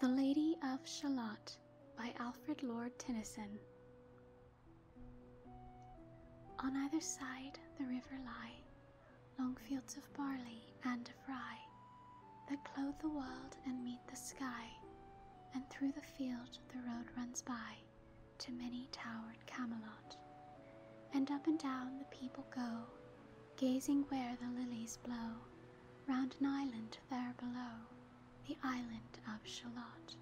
The Lady of Shalott by Alfred Lord Tennyson. On either side the river lie long fields of barley and of rye that clothe the world and meet the sky, and through the field the road runs by to many towered Camelot, and up and down the people go, gazing where the lilies blow, round an island there below, the island of Shalott.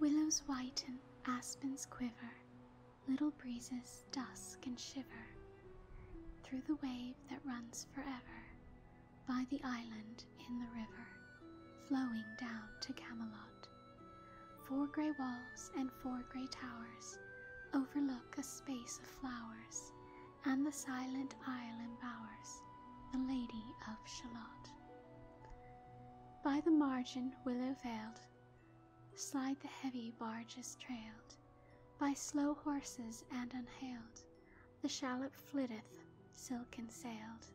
Willows whiten, aspens quiver, little breezes dusk and shiver, through the wave that runs forever by the island in the river, flowing down to Camelot. Four grey walls and four grey towers overlook a space of flowers, and the silent isle embowers the Lady of Shalott. By the margin, willow veiled, slide the heavy barges trailed by slow horses and unhailed. The shallop flitteth silken sailed,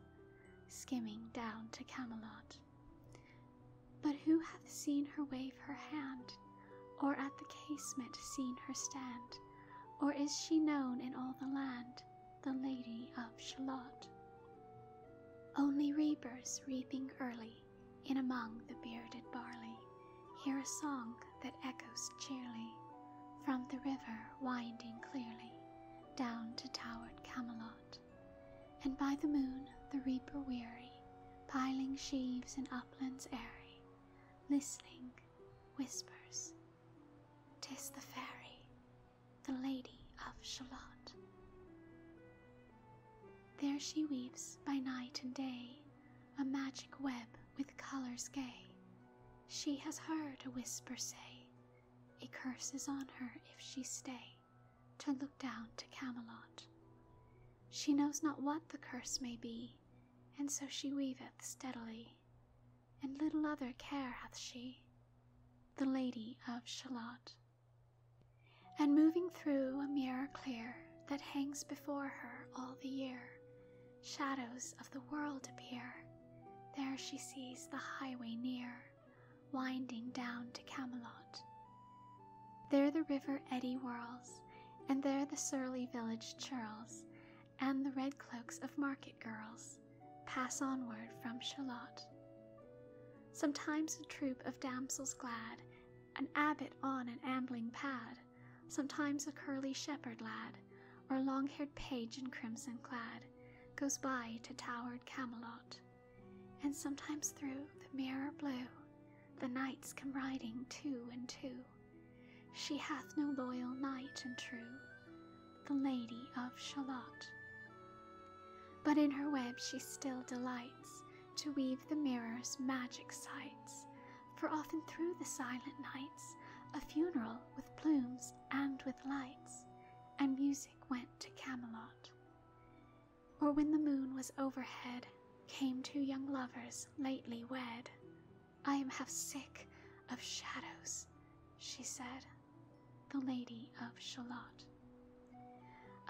skimming down to Camelot. But who hath seen her wave her hand, or at the casement seen her stand, or is she known in all the land, the Lady of Shalott? Only reapers reaping early, in among the bearded barley, hear a song that echoes cheerily, from the river winding clearly down to towered Camelot and by the moon the reaper weary, piling sheaves in uplands airy, listening, whispers, 'Tis the fairy, the Lady of Shalott." There she weaves by night and day a magic web with colors gay. She has heard a whisper say, a curse is on her if she stay to look down to Camelot. She knows not what the curse may be, and so she weaveth steadily, and little other care hath she, the Lady of Shalott. And moving through a mirror clear that hangs before her all the year, shadows of the world appear. There she sees the highway near, winding down to Camelot. There the river eddy whirls, and there the surly village churls, and the red cloaks of market girls pass onward from Shalott. Sometimes a troop of damsels glad, an abbot on an ambling pad, sometimes a curly shepherd lad, or long haired page in crimson clad, goes by to towered Camelot, and sometimes through the mirror blue the knights come riding two and two. She hath no loyal knight and true, the Lady of Shalott. But in her web she still delights to weave the mirror's magic sights, for often through the silent nights a funeral with plumes and with lights and music went to Camelot. Or when the moon was overhead, came two young lovers lately wed. I am half sick of shadows, she said, the lady of Shalott.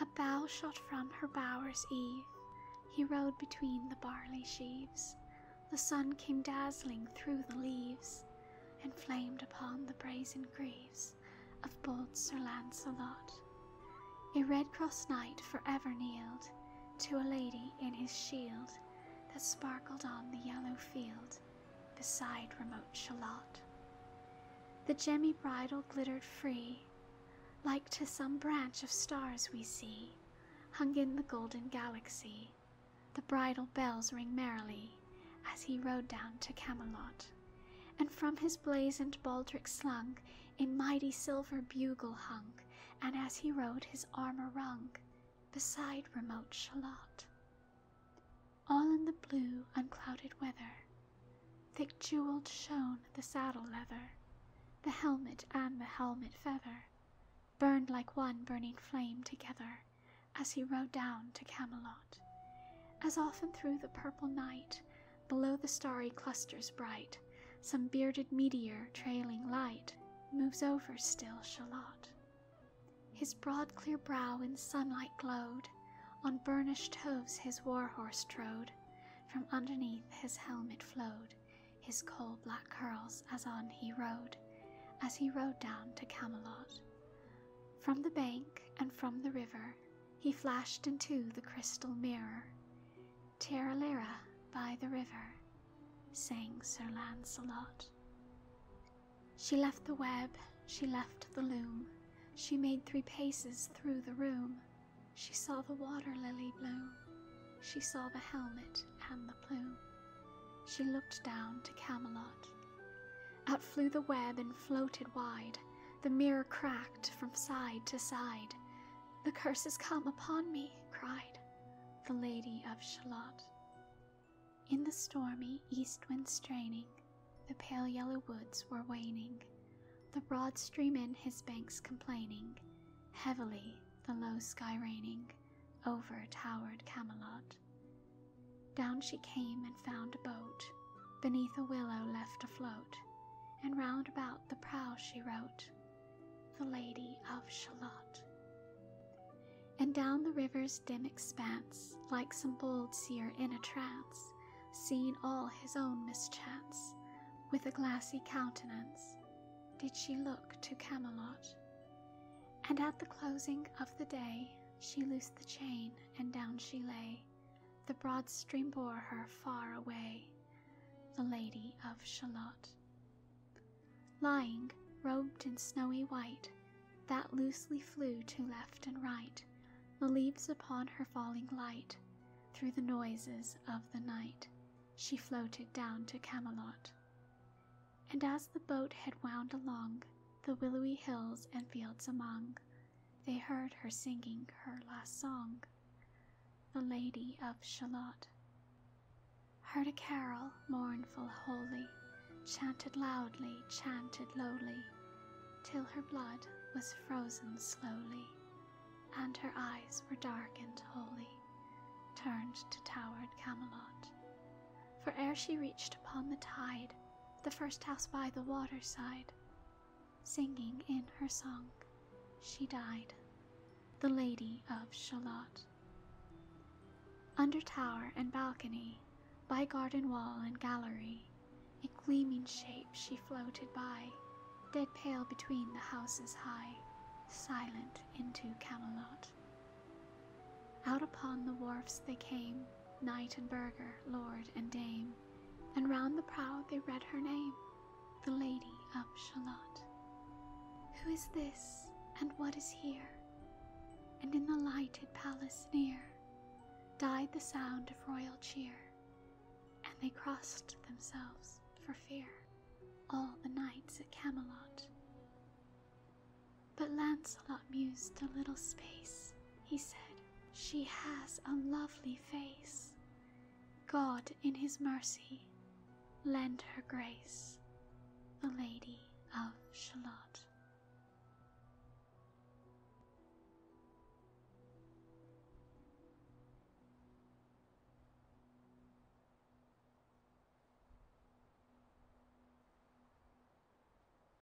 A bow shot from her bower's eve, he rode between the barley sheaves. The sun came dazzling through the leaves, and flamed upon the brazen greaves of bold Sir Lancelot. A red cross knight for ever kneeled to a lady in his shield that sparkled on the yellow field beside remote Shalott. The gemmy bridle glittered free, like to some branch of stars we see, hung in the golden galaxy. The bridle bells ring merrily, as he rode down to Camelot, and from his blazoned baldric slung a mighty silver bugle hung, and as he rode his armor rung beside remote Shalott. All in the blue, unclouded weather, thick jeweled shone the saddle leather, the helmet and the helmet feather burned like one burning flame together, as he rode down to Camelot. As often through the purple night, below the starry clusters bright, some bearded meteor trailing light moves over still Shalott. His broad clear brow in sunlight glowed, on burnished hooves his war horse trode, from underneath his helmet flowed his coal black curls as on he rode, as he rode down to Camelot. From the bank and from the river, he flashed into the crystal mirror. Tiralira by the river, sang Sir Lancelot. She left the web, she left the loom, she made three paces through the room. She saw the water lily bloom, she saw the helmet and the plume. She looked down to Camelot. Out flew the web and floated wide. The mirror cracked from side to side. The curses come upon me, cried the Lady of Shalott. In the stormy east wind straining, the pale yellow woods were waning, the broad stream in his banks complaining, heavily the low sky raining over towered Camelot. Down she came and found a boat, beneath a willow left afloat, and round about the prow she wrote, The Lady of Shalott. And down the river's dim expanse, like some bold seer in a trance, seeing all his own mischance, with a glassy countenance, did she look to Camelot. And at the closing of the day, she loosed the chain and down she lay. The broad stream bore her far away, the Lady of Shalott. Lying, robed in snowy white, that loosely flew to left and right, the leaves upon her falling light, through the noises of the night, she floated down to Camelot. And as the boat had wound along, the willowy hills and fields among, they heard her singing her last song, the Lady of Shalott. Heard a carol mournful, holy, chanted loudly, chanted lowly, till her blood was frozen slowly, and her eyes were darkened wholly, turned to towered Camelot for ere she reached upon the tide, the first house by the waterside, singing in her song, she died, the Lady of Shalott. Under tower and balcony, by garden wall and gallery, a gleaming shape she floated by, dead pale between the houses high, silent into Camelot. Out upon the wharfs they came, knight and burgher, lord and dame, and round the prow they read her name, the Lady of Shalott. Who is this, and what is here? And in the lighted palace near died the sound of royal cheer, and they crossed themselves for fear, all the knights at Camelot. But Lancelot mused a little space. He said, She has a lovely face. God, in his mercy, lend her grace, the Lady of Shalott.